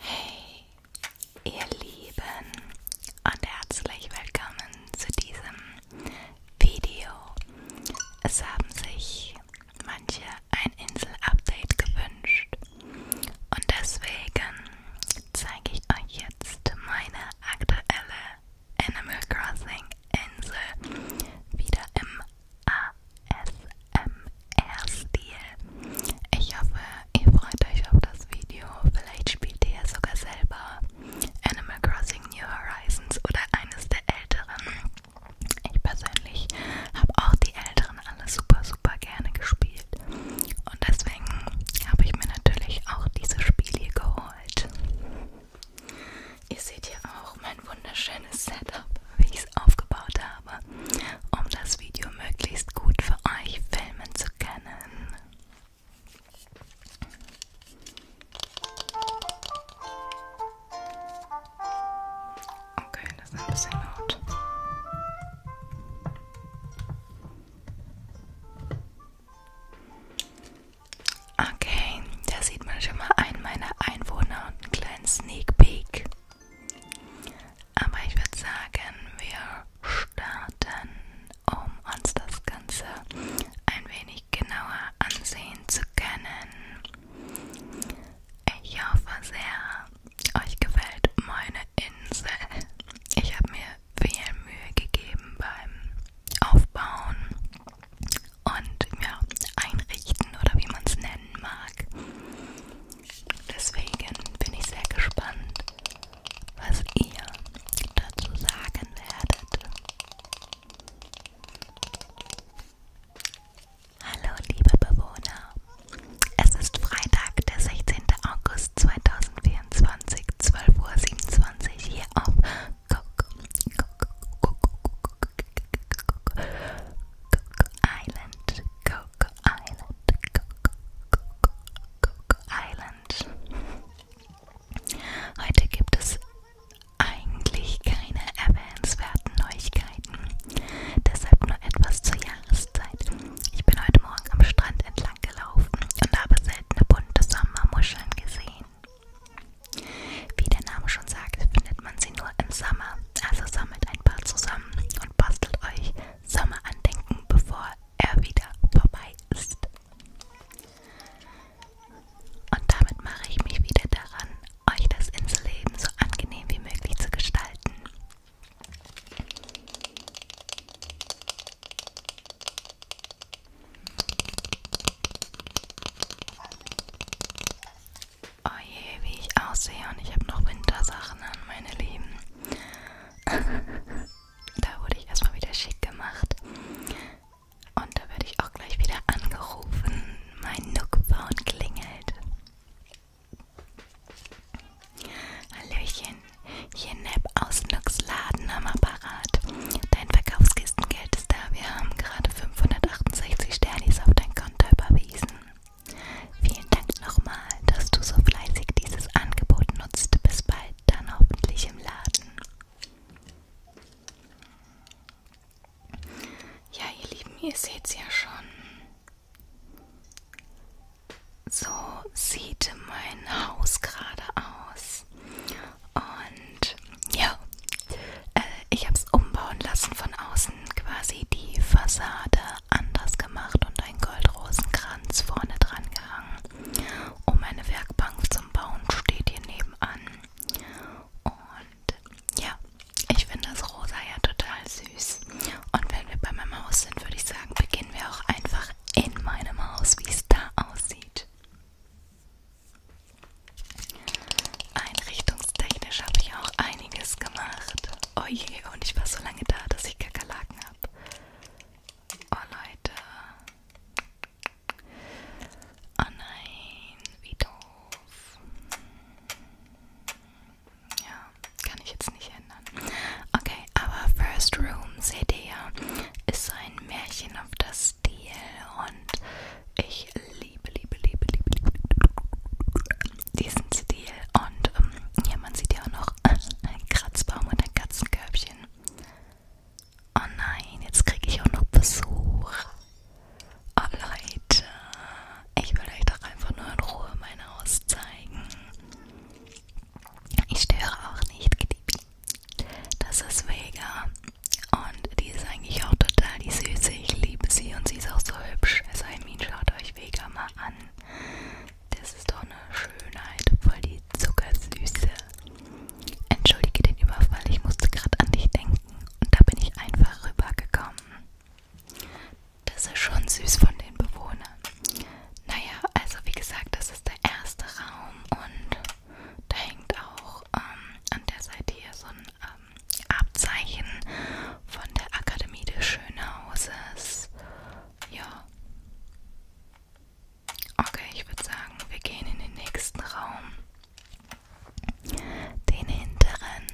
Hey, ihr Lieben und herzlich willkommen zu diesem Video. Es haben sich manche ein Insel-Update gewünscht und deswegen zeige ich euch jetzt meine aktuelle Animal Crossing Insel wieder im ASMR. Air-Stil. Ich hoffe, ihr freut euch auf das Video. Vielleicht spielt ihr ja sogar selber Animal Crossing New Horizons oder eines der älteren. Ich persönlich habe auch die älteren alle super, super gerne gespielt. Und deswegen habe ich mir natürlich auch diese Spiele geholt. Ihr seht hier auch mein wunderschönes Setup, wie ich es aufgebaut habe habe, um das Video möglichst gut für euch filmen zu können. Okay, das ist ein bisschen laut. Okay, da sieht man schon mal einen meiner Einwohner und einen kleinen Sneak Peek. Aber ich würde sagen, wir starten, um uns das Ganze ein wenig genauer ansehen zu können. Ich hoffe sehr, euch gefällt meine Insel. Ich habe mir viel Mühe gegeben beim Aufbauen und ja, einrichten oder wie man es nennen mag. Deswegen bin ich sehr gespannt, was ihr dazu sagen werdet. Hallo liebe Bewohner, es ist Freitag, der 16. August 2024, 12.27 Uhr hier auf Coco Island, Coco Island, Island. Heute gibt es eigentlich keine erwähnenswerten Neuigkeiten. Deshalb nur etwas zur Jahreszeit. Ich bin heute Morgen am Strand entlang gelaufen und habe seltene bunte Sommermuscheln gesehen. Wie der Name schon sagt, findet man sie nur im Sommer. Also sammelt ein paar zusammen und bastelt euch Sommer andenken, bevor er wieder vorbei ist. Und damit mache ich mich wieder daran, euch das Inselleben so angenehm wie möglich zu gestalten. Oh je, wie ich aussehe und ich habe noch Wintersachen an, meine Lieben. da wurde ich erstmal wieder schick gemacht. Und da werde ich auch gleich wieder angerufen. Mein Nookbaum klingelt. Hallöchen, hier Neb aus Nooks Laden am Apparat. Dein Verkaufskistengeld ist da. Wir haben gerade 568 Sternis auf dein Konto überwiesen. Vielen Dank nochmal, dass du so fleißig dieses Angebot nutzt. Bis bald, dann hoffentlich im Laden. Ja, ihr Lieben, ihr seht's ja schon. So sieht mein Haus gerade aus. Und ja, äh, ich habe es umbauen lassen von außen quasi die Fassade anders gemacht und einen Goldrosenkranz vorne dran gehangen. Und meine Werkbank zum Bauen steht hier nebenan. Und ja, ich finde das Rosa ja total süß. Und wenn wir bei meinem Haus sind, würde ich sagen, beginnen wir auch einfach in meinem Haus, wie es da aussieht. Einrichtungstechnisch habe ich auch ein einiges gemacht. Oh je, und ich war so lange da, dass ich Kakerlaken habe. Oh Leute. Oh nein, wie doof. Ja, kann ich jetzt nicht ändern. Okay, aber First Room, seht ihr ja, ist so ein Märchen auf das Stil und ich liebe, liebe, liebe, liebe, liebe, diesen Stil und ähm, hier man sieht ja auch noch einen Kratzbaum und ein Katzenkörbchen. Oh nein, jetzt kriege ich auch noch Besuch. Oh Leute, ich will euch doch einfach nur in Ruhe mein Haus zeigen. Ich störe auch nicht, Knipi. Das ist Vega und die ist eigentlich auch total die Süße. Ich liebe sie und sie ist auch so hübsch. Also, I mean, schaut euch Vega mal an. Das ist doch eine Schönheit, voll die Zuckersüße. Entschuldige den Überfall, ich musste gerade an dich denken und da bin ich einfach rübergekommen. Das ist schon süß von den Bewohnern. Naja, also wie gesagt, das ist der erste Raum und da hängt auch ähm, an der Seite hier so ein ähm, Abzeichen von der Akademie des Schönhauses. Ja. Okay, ich würde sagen, wir gehen in den nächsten Raum. Den hinteren.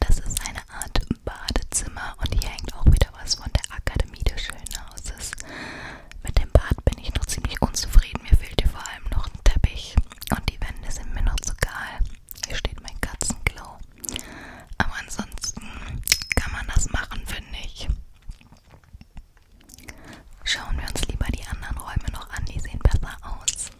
Das ist eine Art Badezimmer und hier hängt auch wieder was von der Akademie des Schönhauses. Mit dem Bad bin ich noch ziemlich unzufrieden. Mir fehlt hier vor allem noch ein Teppich. Und die Wände sind mir noch zu kahl. Hier steht mein Katzenklo. Aber ansonsten kann man das machen, finde ich. Schauen wir uns lieber die anderen Räume noch an, die sehen besser aus.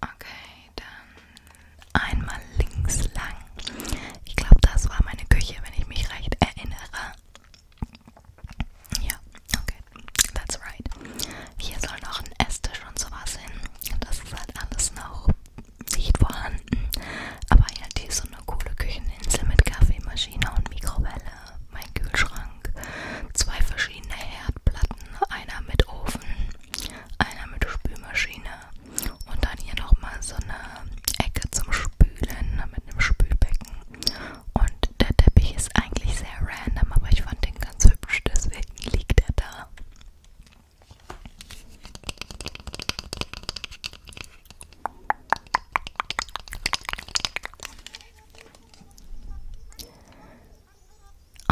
Okay, dann einmal links lang. Ich glaube, das war meine Küche, wenn ich mich recht erinnere. Ja, okay, that's right. Hier soll noch ein Esstisch und sowas hin. Das ist halt alles noch nicht vorhanden. Aber ja, hier ist so eine coole Kücheninsel mit Kaffeemaschine und Mikrowelle, mein Kühlschrank, zwei verschiedene Herdplatten, einer mit Ofen, einer mit Spülmaschine und dann hier nochmal so eine Ecke zum Spülen mit einem Spülbecken. Und der Teppich ist eigentlich sehr random, aber ich fand den ganz hübsch, deswegen liegt er da.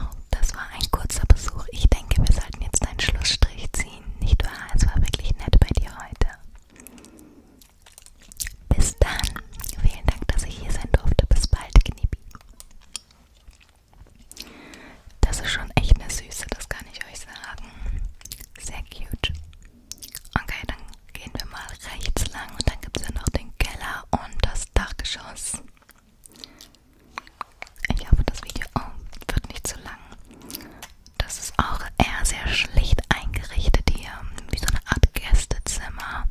Oh, das war ein kurzer Besuch. Ich denke, wir sollten jetzt einen Schlussstrich ziehen. Nicht wahr? Es war wirklich nett bei dir heute. Bis dann. Vielen Dank, dass ich hier sein durfte. Bis bald, Knippi. Das ist schon echt eine Süße, das kann ich euch sagen. Sehr cute. Okay, dann gehen wir mal rechts lang und dann gibt es ja noch den Keller und das Dachgeschoss. Ich hoffe, das Video oh, wird nicht zu lang. Das ist auch eher sehr schlicht eingerichtet hier, wie so eine Art Gästezimmer.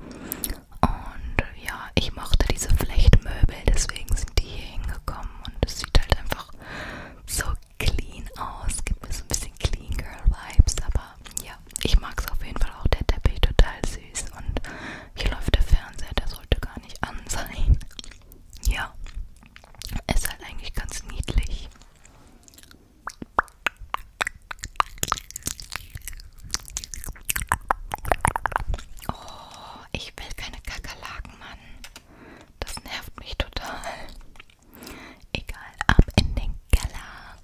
Und ja, ich mochte diese Flechtmöbel, deswegen sind die hier hingekommen. Und es sieht halt einfach so clean aus. Gibt mir so ein bisschen Clean Girl Vibes, aber ja, ich mag es auf jeden Fall auch. Der Teppich total süß. Und hier läuft der Fernseher, der sollte gar nicht an sein. Ja, ist halt eigentlich ganz niedlich. Oh, ich will keine Kakerlaken, Mann. Das nervt mich total. Egal, ab in den Keller.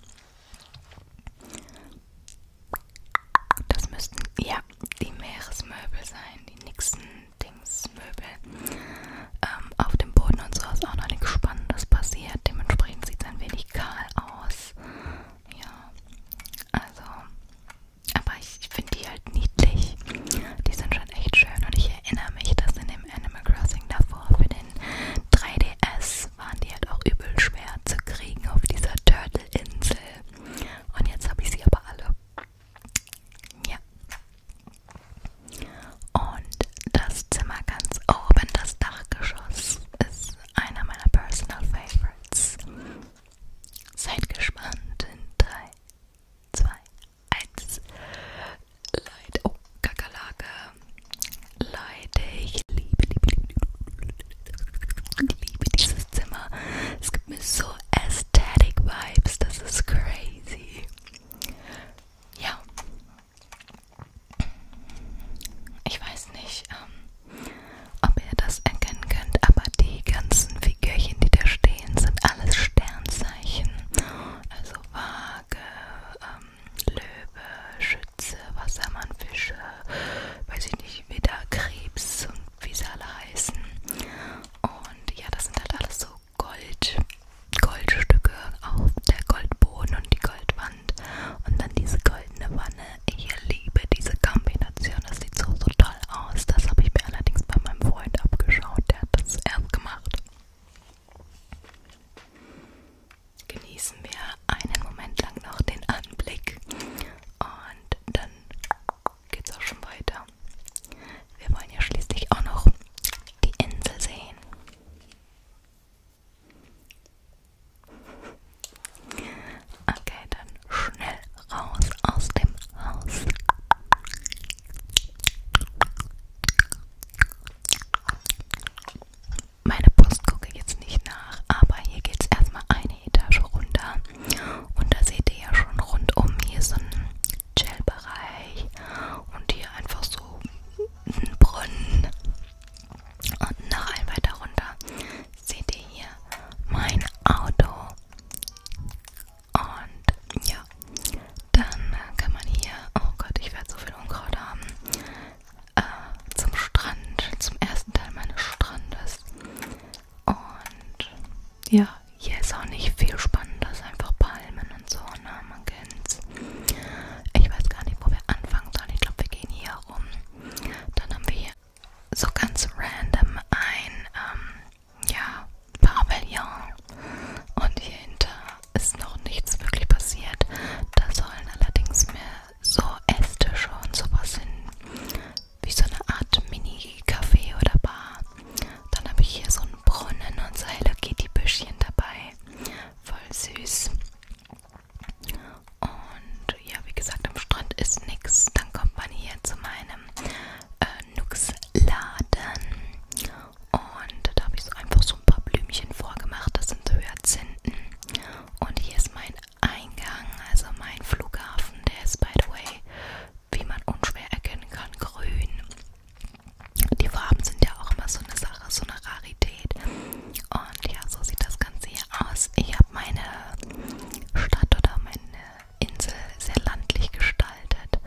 Das müssten, ja, die Meeresmöbel sein, die Nixon-Dings das Möbel ähm, auf dem Boden und so ist auch noch nichts Spannendes passiert. Dementsprechend sieht es ein wenig kahl aus. Ja, also, aber ich, ich finde die halt niedlich. Die sind schon echt schön und ich erinnere mich, dass in dem Animal Crossing davor für den 3DS waren die halt auch übel schwer zu kriegen auf dieser Turtle-Insel. Und jetzt habe ich sie aber alle. Ja. Und das Zimmer ganz oben, das Dachgeschoss, ist einer meiner Personal Favorites. Seid gespannt in 3, 2, 1. Leute, oh, Kakerlake. Leute, ich liebe, liebe, liebe, liebe dieses Zimmer. Es gibt mir so Aesthetic Vibes, das ist crazy ja, ich weiß nicht, ähm, ob ihr das erkennen könnt, aber die ganzen Figürchen, die da stehen, sind alles Sternzeichen. Also Waage, ähm, Löwe, Schütze, Wassermann, Fische, weiß ich nicht, wieder Krebs und wie sie alle heißen. Und ja, das sind halt alles so Gold, Goldstücke auf der Goldboden und die Goldwand und dann diese goldene Wanne. Ich liebe diese Kombination, das sieht so, so toll aus. Das habe ich mir allerdings bei meinem Freund abgeschaut, der hat das erst gemacht. Genießen wir einen Moment lang noch den Anblick und dann geht's auch schon weiter. Wir wollen ja schließlich auch noch die Insel sehen. Okay, dann schnell raus aus dem Haus. Meine Post gucke ich jetzt nicht nach, aber hier geht es erstmal eine Etage runter. Und da seht ihr ja schon rundum hier so ein Gelbereich und hier einfach so ein Brunnen. Und noch ein weiter runter seht ihr hier mein Auto. Und ja, dann kann man hier, oh Gott, ich werde so viel Unkraut haben, äh, zum Strand, zum ersten Teil meines Strandes. Und ja, hier ist auch nicht viel Spannendes, einfach Palmen und so. Ne? Man Morgens. Ich weiß gar nicht, wo wir anfangen sollen. Ich glaube, wir gehen hier rum. Dann haben wir hier so ganz random ein ähm, ja, Pavillon. Und hier hinter ist noch nichts wirklich passiert. Da sollen allerdings mehr so Esstische und sowas hin. Wie so eine Art Mini-Café oder Bar. Dann habe ich hier so einen Brunnen und so Hello Kitty Büschchen dabei. Voll süß. Und ja, wie gesagt, am Strand ist nichts. Dann kommt man hier zu meinem äh, Nux-Laden. Und da habe ich so einfach so ein paar Blümchen vorgemacht. Das sind so Hyazinthen. Und hier ist mein Eingang, also mein Flughafen. Der ist, by the way, wie man unschwer erkennen kann, grün. Die Farben sind ja auch immer so eine Sache, so eine Rarität. Und ja, so sieht das Ganze hier aus. Ich habe meine Stadt oder meine Insel sehr landlich gestaltet.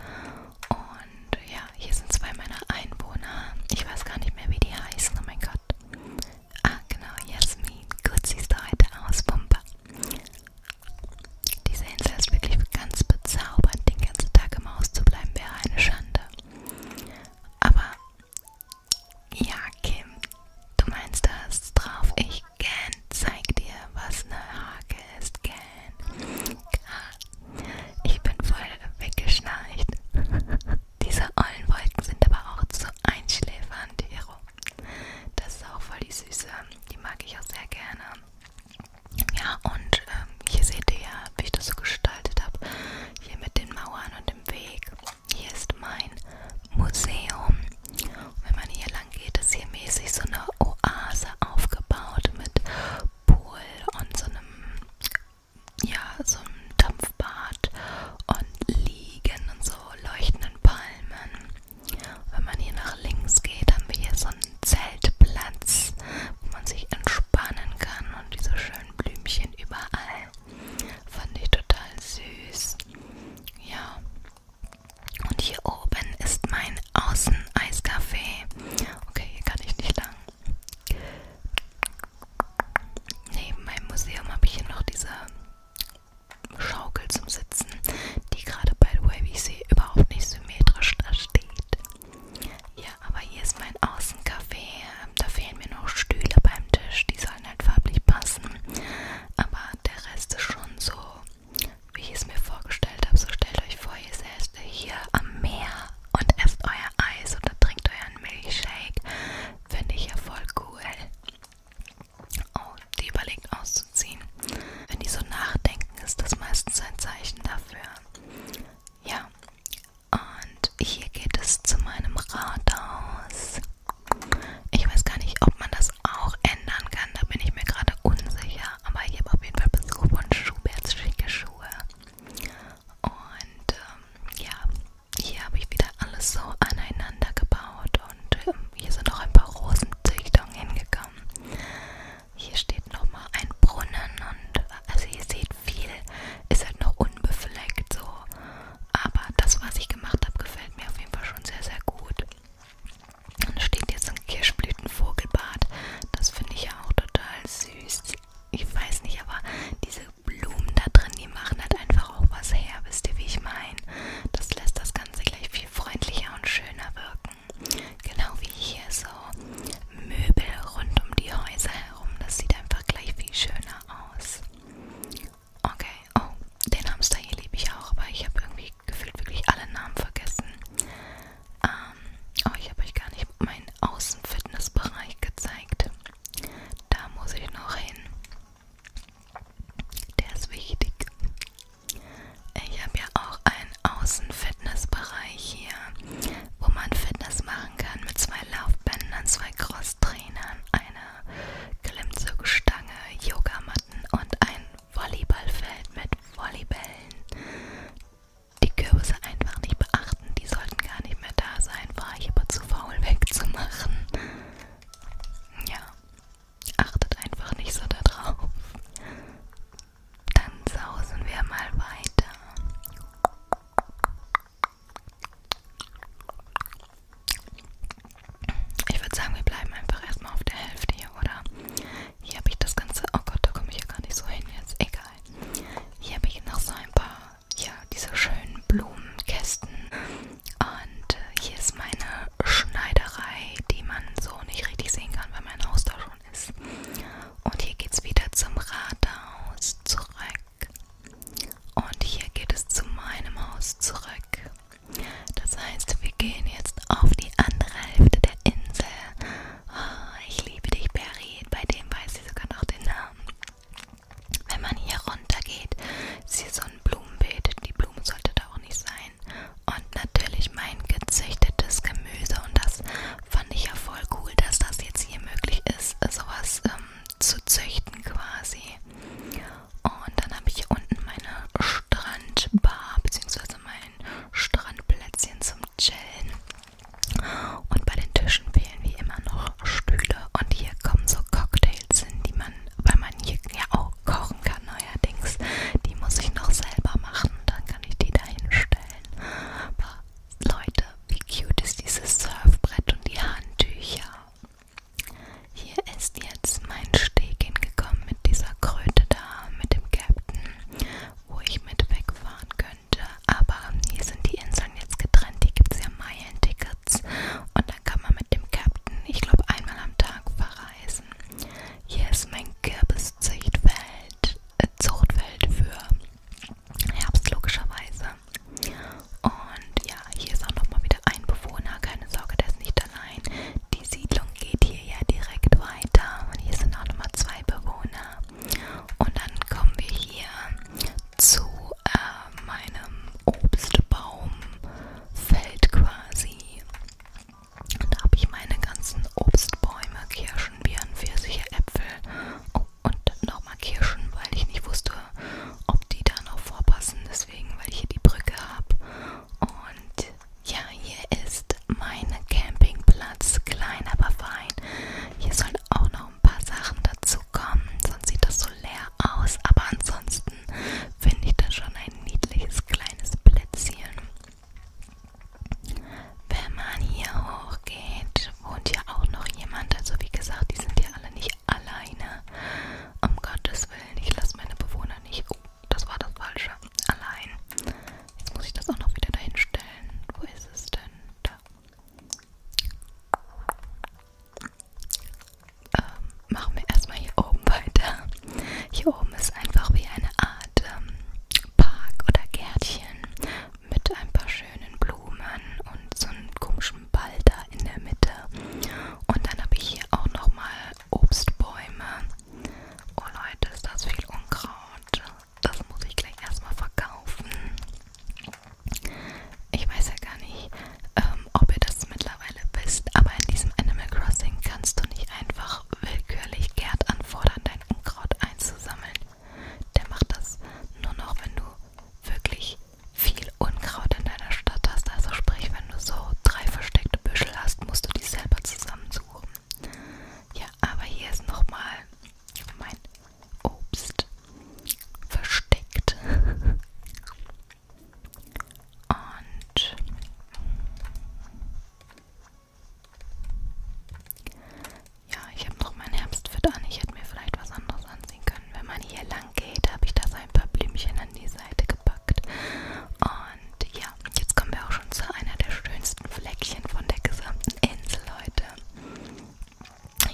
Und ja, hier sind zwei meiner Einwohner. Ich weiß gar nicht mehr, wie die heißen. Oh mein Gott. Ah, genau, Jasmin. Gut siehst du heute aus, Pumper. Diese Insel ist wirklich ganz bezaubernd, den ganzen Tag im Haus zu bleiben. Wer wäre eine Schande. Aber ja, Kim, du meinst das drauf? Ich Gan, zeig dir, was eine Hake ist, Gan. Ich bin voll weggeschnarcht. Diese Ollenwolken sind aber auch zu einschläfernd, Hero. Das ist auch voll die Süße. Die mag ich auch sehr gerne. Ja, und ähm, hier seht ihr ja, wie ich das so gestaltet habe. Hier mit den Mauern und dem Weg. Hier ist mein Museum. Und wenn man hier lang geht, ist hier mäßig so eine Oase aufgebaut mit Pool und so einem, ja, so einem Dampfbad und Liegen und so leuchtenden Palmen. Und wenn man hier nach links geht, haben wir hier so ein Zeltplatz, wo man sich entspannen kann und diese schönen Blümchen überall. Fand ich total süß. Ja. Und hier oben ist mein Außeneiscafé. Okay, hier kann ich nicht lang. Neben meinem Museum habe ich hier noch diese Schaukel zum Sitzen, die gerade, by the way, wie ich sehe, überhaupt nicht symmetrisch da steht. Ja, aber hier ist mein Außencafé. Ähm, da fehlen mir noch Stühle beim Tisch. Die sollen halt farblich passen. Aber der Rest ist schon so, wie ich es mir vorgestellt habe. So stellt euch vor, ihr seid hier am Meer und esst euer Eis oder trinkt euren Milchshake. Finde ich ja voll cool. Oh, die überlegt auszuziehen. Wenn die so nachdenken, ist das meistens ein Zeichen dafür, ja, und hier geht es zu meinem Rathaus. Ich weiß gar nicht, ob man das auch ändern kann, da bin ich mir gerade unsicher. Aber ich habe auf jeden Fall Besuch von Schuberts schicke Schuhe. Und ähm, ja, hier habe ich wieder alles so aneinander gebaut und ähm, hier sind auch ein paar Rosenzüchtungen hingekommen. Hier steht nochmal ein Brunnen und also ihr seht viel ist halt noch unbefleckt so. Aber das, was ich gemacht habe, gefällt mir auf jeden Fall schon sehr, sehr gut. Und steht jetzt ein Kirschblütenvogelbad. Das finde ich ja auch total süß. Ich weiß nicht, aber diese Blumen da drin, die machen halt einfach auch was her. Wisst ihr, wie ich meine? Das lässt das Ganze gleich viel freundlicher und schöner wirken angucken. Genau wie hier so Möbel rund um die Häuser herum. Das sieht einfach gleich viel schöner aus. Okay, oh, den Hamster hier liebe ich auch, aber ich habe irgendwie gefühlt wirklich alle Namen vergessen. Ähm, oh, ich habe euch gar nicht meinen Außenfitnessbereich gezeigt. Da muss ich noch hin. Der ist wichtig. Ich habe ja auch ein Außenfitnessbereich hier, wo man Fitness machen kann mit zwei Laufbändern, zwei Crosstrainern, einer Klimmzugstange, Yogamatten und ein Volleyballfeld mit Volleybällen. Die Kürbisse einfach nicht beachten, die sollten gar nicht mehr da sein, war ich aber zu faul wegzumachen. Ja, achtet einfach nicht so darauf dann sausen wir mal weiter. Ich würde sagen, wir bleiben einfach erstmal auf der Hälfte hier, oder? Hier habe ich das Ganze. Oh Gott, da komme ich ja gar nicht so hin jetzt. Egal. Hier habe ich noch so ein paar, ja, diese schönen Blumenkästen. Und äh, hier ist meine Schneiderei, die man so nicht richtig sehen kann, weil mein Haus da schon gefahren ist. Und hier geht es wieder zum Rathaus zurück. Und hier geht es zu meinem Haus zurück. Das heißt, wir gehen jetzt auf die andere Hälfte der Insel. Oh, ich liebe dich, Barry. Bei dem weiß sie sogar noch den Namen. Wenn man hier runter geht, ist hier so ein Blumenbeet. Die Blume sollte da auch nicht sein. Und natürlich mein gezüchtetes Gemüse und das fand ich ja voll cool, dass das jetzt hier möglich ist, sowas ähm, zu züchten quasi. Und dann habe ich hier unten meine Strandbar bzw. mein Strandplätzchen zum Chillen. Und bei den Tischen fehlen wie immer noch Stühle. Und hier kommen so Cocktails hin, die man, weil man hier ja auch kochen kann neuerdings. Die muss ich noch selber machen. Dann kann ich die da hinstellen. Aber Leute, wie cute ist dieses Surfbrett und die Handtücher. Hier ist jetzt mein Steg hingekommen mit dieser Kröte da, mit dem Captain, wo ich mit wegfahren könnte. Aber hier sind die Inseln jetzt getrennt, hier gibt es ja Meilen-Tickets und dann kann man mit dem Captain, ich glaube, einmal am Tag verreisen. Hier ist mein Kürbiszichtfeld. Zuchtfeld für Herbst logischerweise. Und ja, hier ist auch nochmal wieder ein Bewohner. Keine Sorge, der ist nicht allein. Die Siedlung geht hier ja direkt weiter. Und hier sind auch nochmal zwei Bewohner. Und dann kommen wir hier zu äh, meinem Obstbaumfeld quasi. Und da habe ich meine ganzen Obstbäume, Kirschen. Kirschen, Birnen, Pfirsiche, Äpfel oh, und nochmal Kirschen, weil ich nicht wusste, ob die da noch vorpassen. Deswegen, weil ich hier die Brücke habe. Und ja, hier ist mein Campingplatz. Klein, aber fein. Hier sollen auch noch ein paar Sachen dazu kommen. Sonst sieht das so leer aus. Aber ansonsten finde ich das schon ein niedliches kleines Plätzchen. Wenn man hier hochgeht, wohnt ja auch noch jemand. Also wie gesagt, die sind ja alle nicht alleine. Um Gottes Willen, ich lasse meine Bewohner nicht. Oh, das war das Falsche. Allein. Jetzt muss ich das auch noch wieder dahin stellen. Wo ist es denn? Da. Ähm, machen wir erstmal hier oben weiter. Hier oben ist einfach wie eine Art ähm, Park oder Gärtchen mit ein paar schönen Blumen und so einem komischen Ball da in der Mitte. Und dann habe ich hier auch nochmal Obstbäume. Oh Leute, ist das viel Unkraut. Das muss ich gleich erstmal verkaufen. Ich weiß ja gar nicht, ähm, ob ihr das mittlerweile wisst, aber in diesem Animal Crossing kannst du nicht einfach willkürlich Gerd anfordern, dein ein Unkraut einzusammeln. Der macht das nur noch, wenn du wirklich viel Unkraut in deiner Stadt hast. Also sprich, wenn du so drei versteckte Büschel hast, musst du die selber zusammensuchen. Ja, aber hier ist nochmal mein Obst versteckt. Und ja, ich habe noch mein Herbstfit an. Ich hätte mir vielleicht was anderes anziehen können. Wenn man hier lang geht, habe ich da so ein paar Blümchen an die Seite gepackt. Und ja, jetzt kommen wir auch schon zu einer der schönsten Fleckchen von der gesamten Insel heute.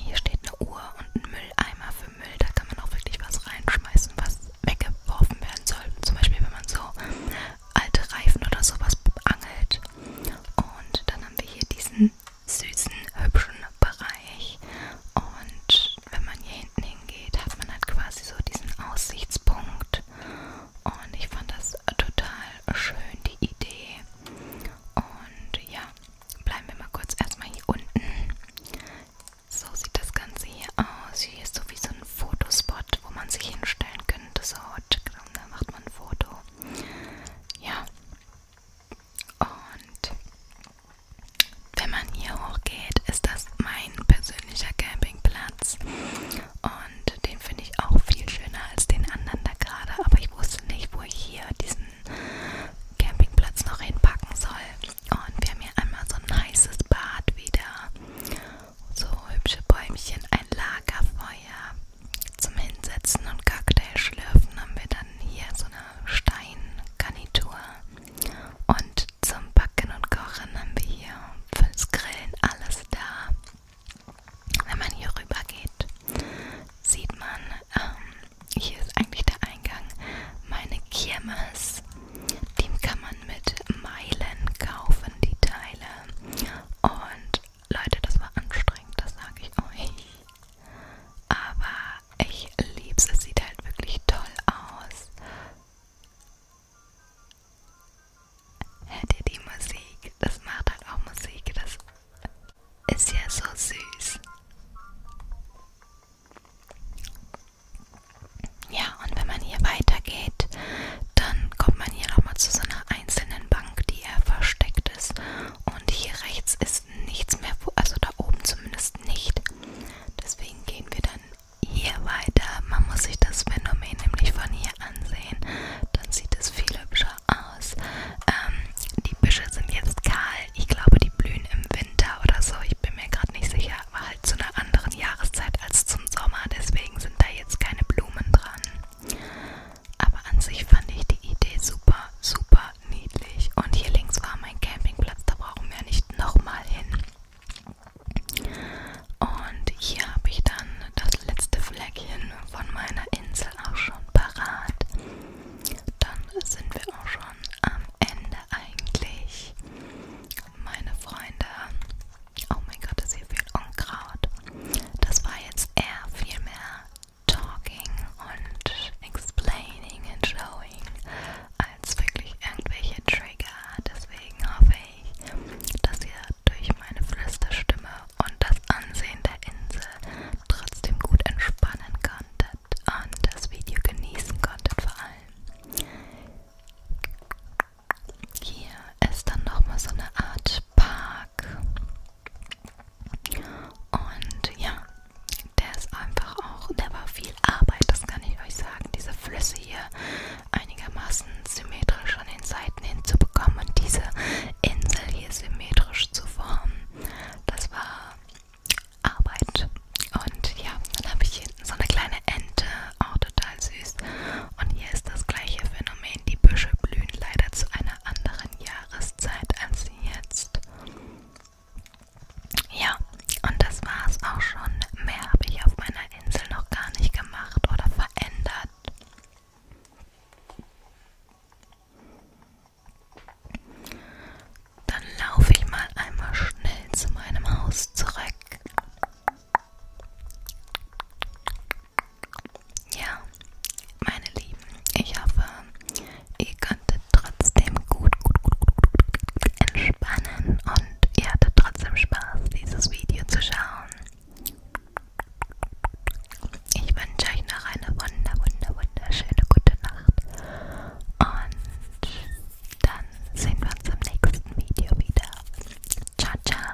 Hier steht eine Uhr und ein Mülleimer für Müll. Da kann man auch wirklich was reinschmeißen, was weggeworfen werden soll. Zum Beispiel, wenn man so alte Reifen oder sowas angelt. Und dann haben wir hier diesen süßen, hübschen Bereich. Und wenn man hier hinten hingeht, hat man halt quasi so diesen Aussichtspunkt. Und ich fand das total schön, die Idee. Und ja, bleiben wir mal kurz erstmal hier unten. So sieht das Ganze hier aus. Hier ist so wie so ein Fotospot, wo man sich hinstellen könnte. So, tschick, Instagram, da macht man ein Foto. Ja. Und wenn man hier hochgeht, ist das mein persönlicher Campingplatz. Und den finde ich auch viel schöner als den anderen da gerade. Aber ich wusste nicht, wo ich hier diesen Campingplatz noch hinpacken soll. Und wir haben hier einmal so ein heißes Bad wieder. So hübsche Bäumchen, ein Lagerfeuer zum Hinsetzen und Cocktail schlürfen haben wir dann hier so eine Steingarnitur. Und zum Backen und Kochen haben wir hier fürs Grillen alles da. Wenn man hier rüber geht, sieht man, ähm, hier ist eigentlich der Eingang, meine Kirmes. Die kann man mit Meilen kaufen, die Teile. Und Leute, das war anstrengend, das sage ich euch. Aber ich liebe es, es sieht halt wirklich toll aus. Hört ihr die Musik? Das macht halt auch Musik, das ist ja so süß. Ja, und wenn man hier weitergeht, dann kommt man hier nochmal zu so einer einzelnen Bank, die eher versteckt ist. Und hier rechts ist nichts mehr, also da oben zumindest nicht. Deswegen gehen wir dann hier weiter. Man muss sich das Phänomen nämlich von hier ansehen. Dann sieht es viel hübscher aus. Ähm, die Büsche sind jetzt kahl. Ich glaube, die blühen im Winter oder so. Ich bin mir gerade nicht sicher. Aber halt zu einer anderen Jahreszeit als zum Sommer. Deswegen sind da jetzt keine Blumen dran. Aber an sich fand ich die Idee super, super niedlich. Und hier links war mein Campingplatz, da brauchen wir nicht nochmal hin. Und hier habe ich dann das letzte Fleckchen von meiner Insel auch schon parat. Dann sind wir auch schon am Ende eigentlich. Meine Freunde, Oh mein Gott, ist hier viel Unkraut. Das war jetzt eher viel mehr Talking und Explaining and Showing als wirklich irgendwelche Trigger. Deswegen hoffe ich, dass ihr durch meine Flüsterstimme und das Ansehen der Insel trotzdem gut entspannen konntet und das Video genießen konntet vor allem. Hier ist dann nochmal so eine Art Park. Und ja, der ist einfach auch, der war viel Arbeit, das kann ich euch sagen. Diese Flüsse hier einigermaßen symmetrisch an den Seiten hinzubekommen und diese Insel hier symmetrisch zu formen, das war Arbeit. Und ja, dann habe ich hinten so eine kleine Ente, auch oh, total süß. Und hier ist das gleiche Phänomen. Die Büsche blühen leider zu einer anderen Jahreszeit als jetzt. Ja, und das war's auch schon. Mehr habe ich auf meiner Insel noch gar nicht gemacht oder verändert. Dann laufe ich mal einmal schnell zu meinem Haus zurück. Ja, meine Lieben, ich hoffe, ihr könntet trotzdem gut, gut, gut, gut entspannen und ihr hattet trotzdem Spaß, dieses Video zu schauen. Ich wünsche euch noch eine wunder, wunder, wunderschöne gute Nacht. Und dann sehen wir uns im nächsten Video wieder. Ciao, ciao.